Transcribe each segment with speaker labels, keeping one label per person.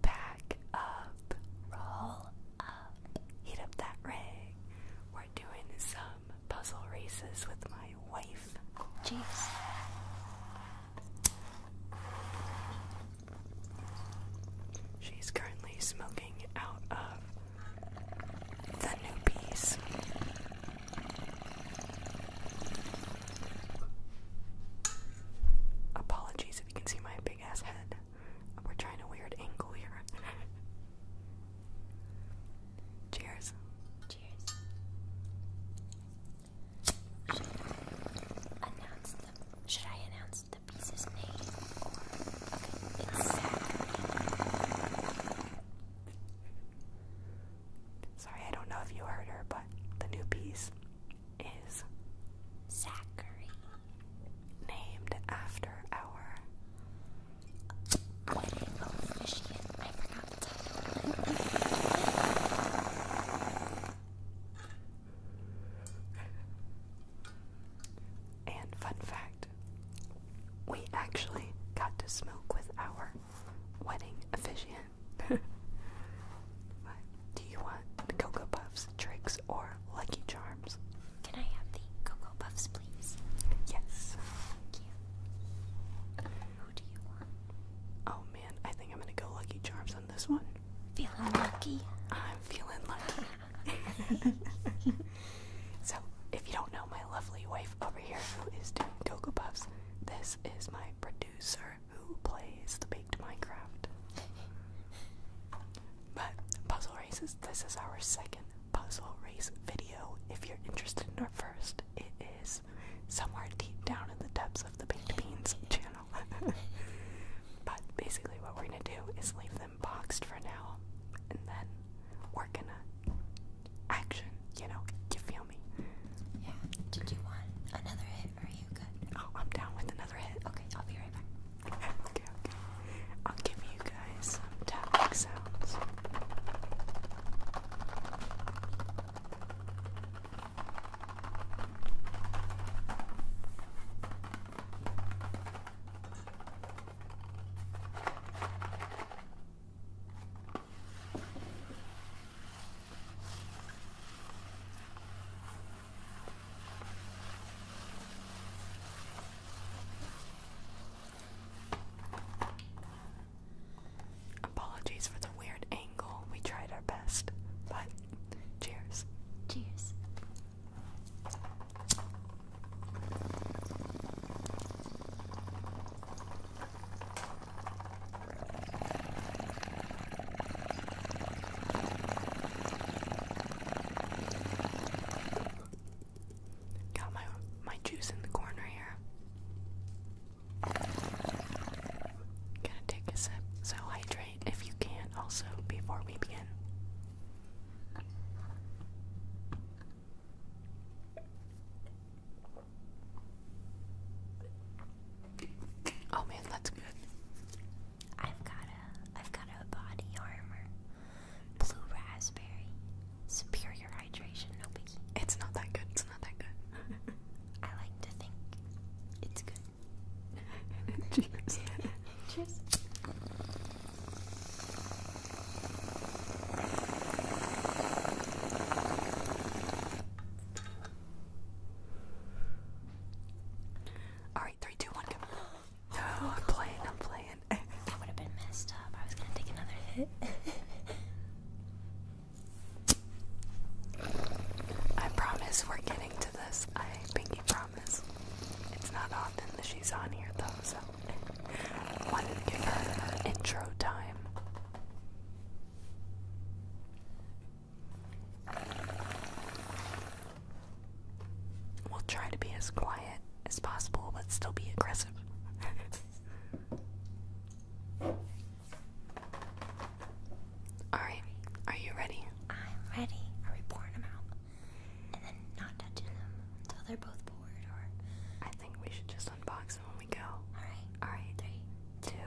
Speaker 1: Back up, roll up, heat up that rig. We're doing some puzzle races with my wife. Jeez. She's currently smoking out of the new piece. Apologies if you can see my ass head. We're trying a weird angle here. Cheers. Cheers. Should I announce the piece's name Sorry, I don't know if you heard her, but the new piece is Zachary, named after our wedding officiant. and fun fact, we actually got to smoke with our wedding officiant but do you want Cocoa Puffs, Tricks, or Lucky Charms? Can I have the Cocoa Puffs, please? Yes. Thank you. Who do you want? Oh man, I think I'm gonna go Lucky Charms on this one. Feeling lucky? I'm feeling lucky. so, if you don't know my lovely wife over here who is doing Cocoa Puffs, this is my producer who plays the baked Minecraft. But puzzle races, this is our second puzzle race video. If you're interested in our first, it is somewhere deep down in the depths of the baked beans channel. but basically what we're gonna do is leave them boxed for now and then we're gonna action, you know, you feel me? Yeah. Did you want another hit are you good? Oh, I'm down with another hit. Okay, I'll be right back. okay, okay. I'll give you guys some tapping sounds. Apologies for the weird angle. We tried our best, but cheers. Cheers. Got my my juice in the corner here. Gotta take a sip, so hydrate if you can also before we begin. Oh man, that's good. I've got a I've got a body armor. Blue raspberry. Superior hydration, no biggie. It's not that good, it's not that good. I like to think it's good. Cheers. Alright, three, two, one, go. No, oh, I'm playing, I'm playing. that would have been messed up. I was gonna take another hit. I promise we're getting to this. I pinky promise. It's not often that she's on here though, so wanted to give her intro time. We'll try to be as quiet as possible, but still be aggressive. Alright, are you ready? I'm ready. Are we pouring them out? And then not touching them until they're both poured, or. I think we should just unbox them when we go. Alright. Alright. Three, two,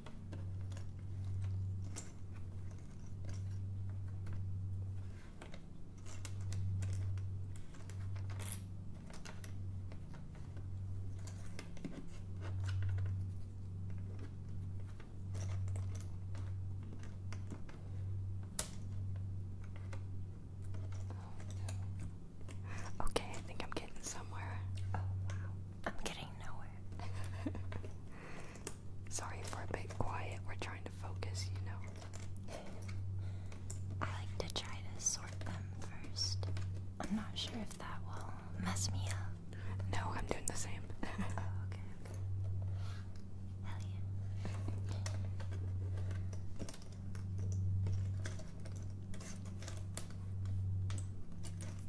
Speaker 1: Oh, no. Okay, I think I'm getting somewhere. Oh, I'm getting nowhere. Sorry for a bit quiet. We're trying to focus, you know. I like to try to sort them first. I'm not sure if that will mess me up. No, I'm doing the same. Oh, okay. Hell yeah.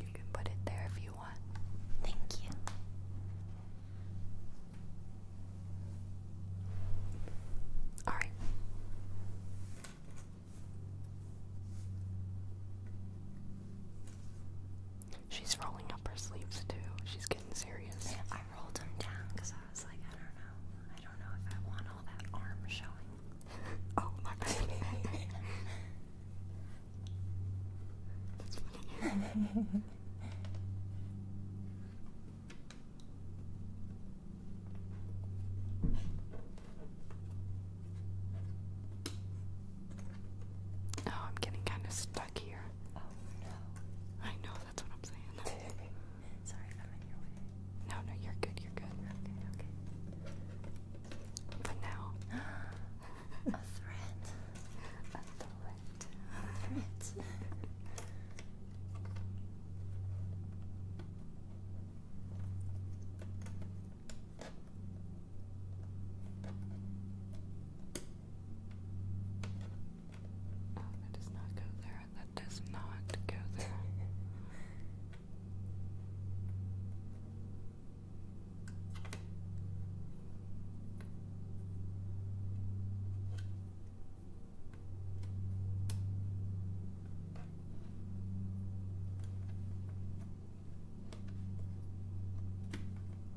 Speaker 1: You can put it there if you want. Thank you. All right. She's rolling up her sleeves too. She's getting serious. I rolled them down because I was like, I don't know. I don't know if I want all that arm showing. oh my god. That's funny. Oh, I'm getting kind of stuck here. Oh no. I know, that's what I'm saying. No, no, you're good, you're good. But now Oh, that does not go there. That does not go there.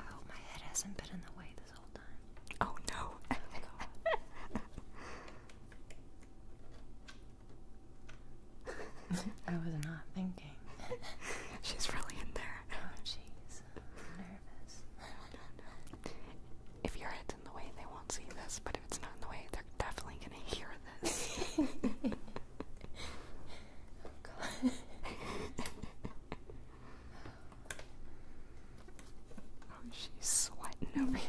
Speaker 1: I hope my head hasn't been in the way this whole time. Oh no! Oh, I was not thinking. She's really in there. Oh she's nervous. If your head's in the way, they won't see this. But if it's not in the way, they're definitely gonna hear this. oh God. Oh, she's sweating over here.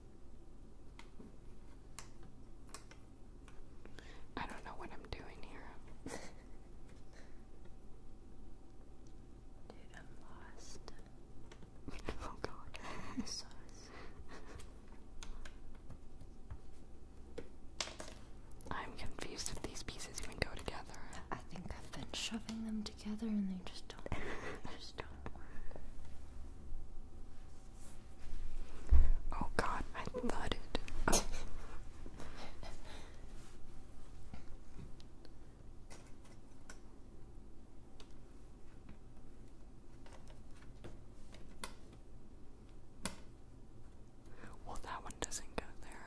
Speaker 1: I don't know what I'm doing here. I'm lost. oh god. I'm confused if these pieces even go together. I think I've been shoving them together and they just don't Oh god, I thought it. well, that one doesn't go there.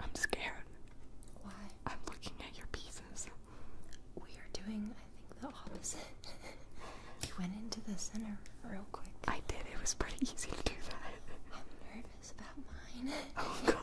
Speaker 1: I'm scared. Why? I'm looking at your pieces. We are doing, I think, the opposite. you went into the center real quick. I did. It was pretty easy to do that. I'm nervous about mine. Oh, God.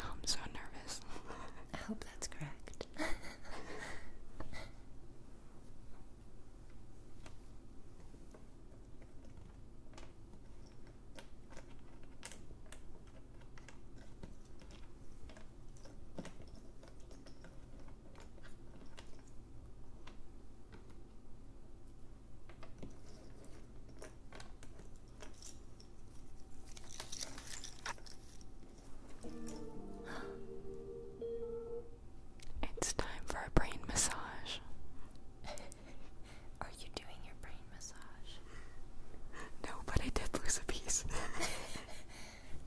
Speaker 1: Oh, I'm so nervous. I hope that's correct. It's time for a brain massage. Are you doing your brain massage? No, but I did lose a piece.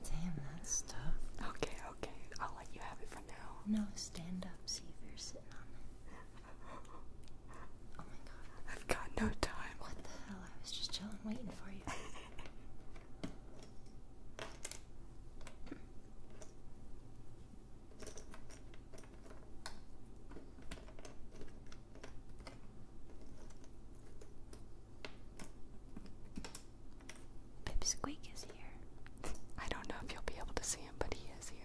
Speaker 1: Damn, that stuff. Okay, okay. I'll let you have it for now. No, stand up. See if you're sitting on it. Oh my god. I've got no time. What the hell? I was just chilling, waiting for you. Pipsqueak is here. I don't know if you'll be able to see him, but he is here.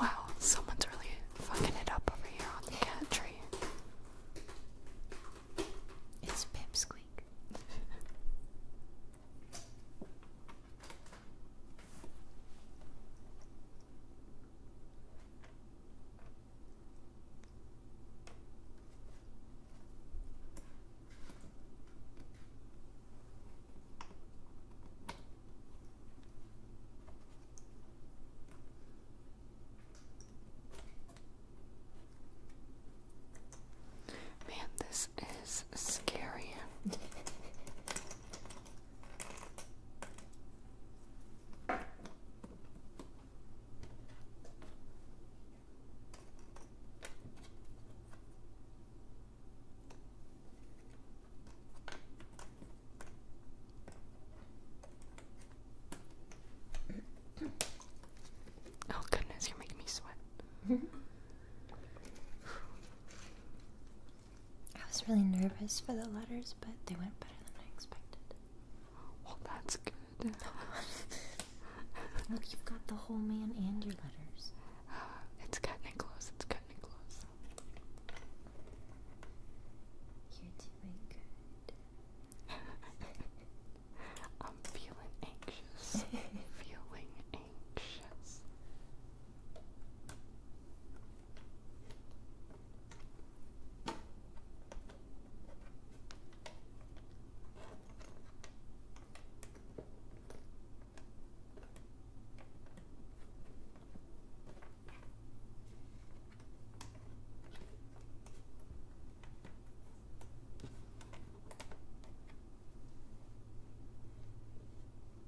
Speaker 1: Wow, someone's really fucking it up over here on the cat tree. It's Pipsqueak. Man, this is scary. Oh goodness, you're making me sweat. I was really nervous for the letters, but they went better than I expected. Well, oh, that's good. Look, you've got the whole man and your letters. it's getting close, it's cutting close. You're doing good. I'm feeling anxious. feeling anxious.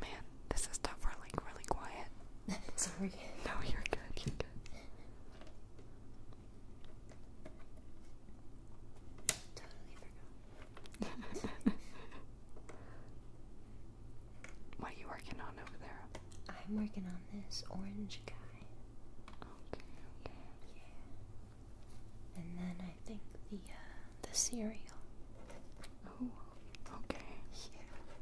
Speaker 1: Man, this is tough. for like really quiet. Sorry. No, you're good. You're good. Totally forgot. what are you working on over there? I'm working on this orange guy. Okay. Yeah, And then I think the uh, the cereal. Oh. Okay. Yeah.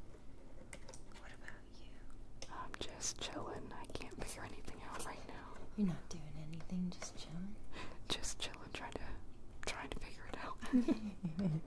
Speaker 1: I'm just chilling. I can't figure anything out right now. You're not doing anything, just chilling? just chilling, trying to trying to figure it out.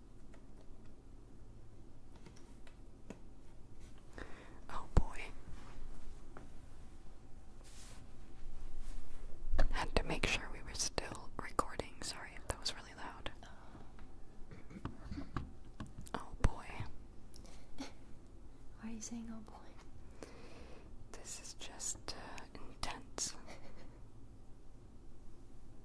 Speaker 1: Oh boy. Had to make sure we were still recording. Sorry that was really loud. Oh boy. Why are you saying oh boy? This is just uh, intense.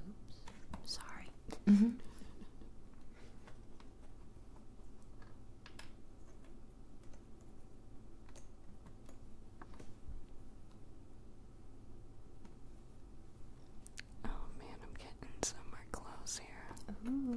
Speaker 1: Oops. Sorry. Mm-hmm. Oh man, I'm getting somewhere close here. Ooh.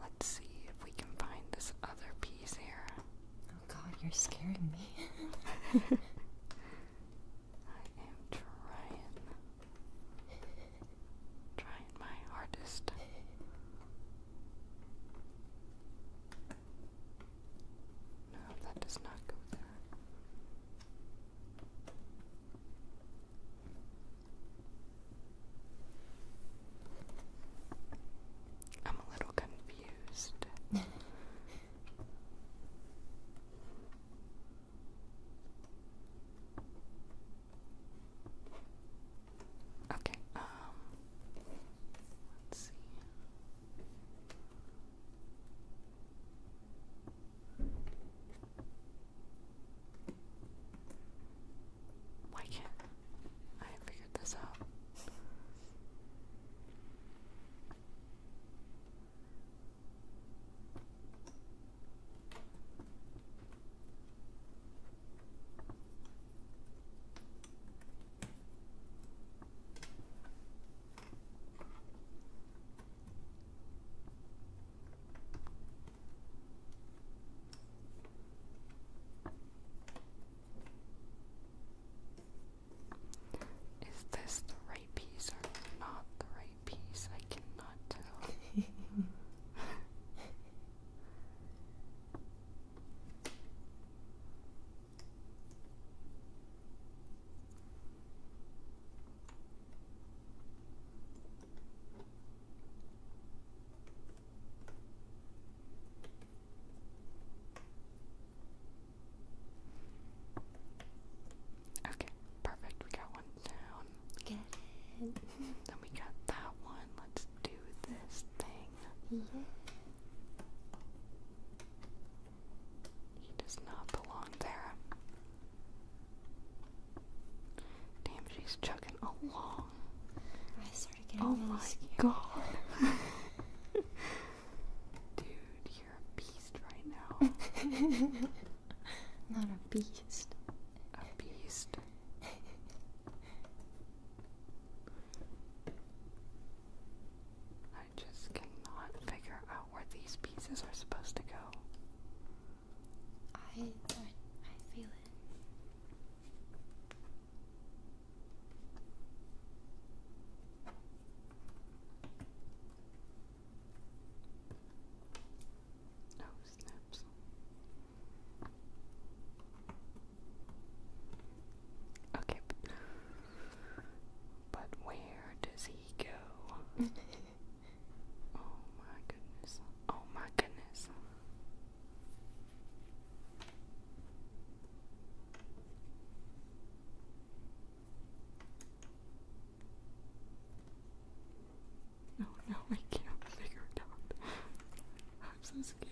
Speaker 1: Let's see if we can find this other piece here. Oh god, you're scaring me. I am trying. Trying my hardest. No, that does not go there. I'm a little confused. okay, um, let's see. Why can't I figure this out? Is this the right piece or not the right piece? I cannot tell. Okay, perfect. We got one down. Get it. then we got that one. Let's do this thing. He does not belong there. Damn, she's chugging along. I started getting oh really my god. Dude, you're a beast right now. Not a beast. A beast. I just cannot figure out where these pieces are supposed to go. I, I, I feel it. Oh, snaps. Okay, but, but where does he go? oh my goodness. Oh my goodness. No, no, I can't figure it out. I'm so scared.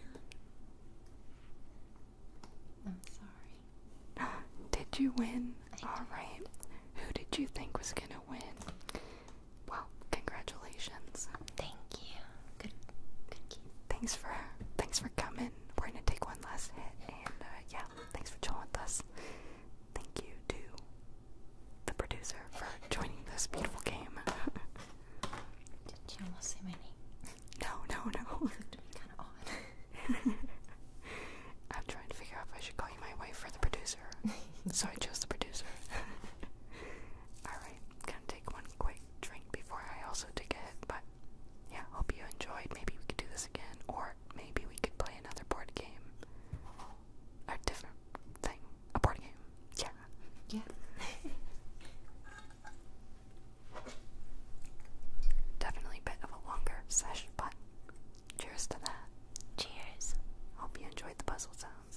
Speaker 1: I'm sorry. Did you win? Alright. Who did you think was gonna win? Well, congratulations. Thank you. Good. Thank you. Thanks for thanks for coming. We're gonna take one last hit, and uh, yeah, thanks for chilling with us. Thank you to the producer for joining this beautiful game. Did you almost say my name? No, no, no. It looked kind of odd. I'm trying to figure out if I should call you my wife or the producer, so I chose the producer. Alright, gonna take one quick drink before I also take a hit, but yeah, hope you enjoyed. Maybe we could do this again, or maybe we could play another board game. A different thing. A board game. Yeah. Yeah. Definitely a bit of a longer session, but cheers to that. Cheers. Hope you enjoyed the puzzle sounds.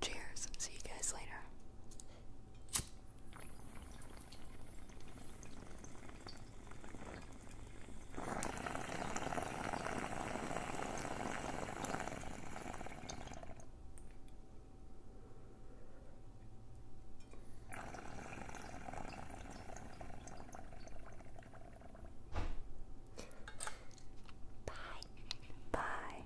Speaker 1: Cheers. See you guys later. Bye. Bye.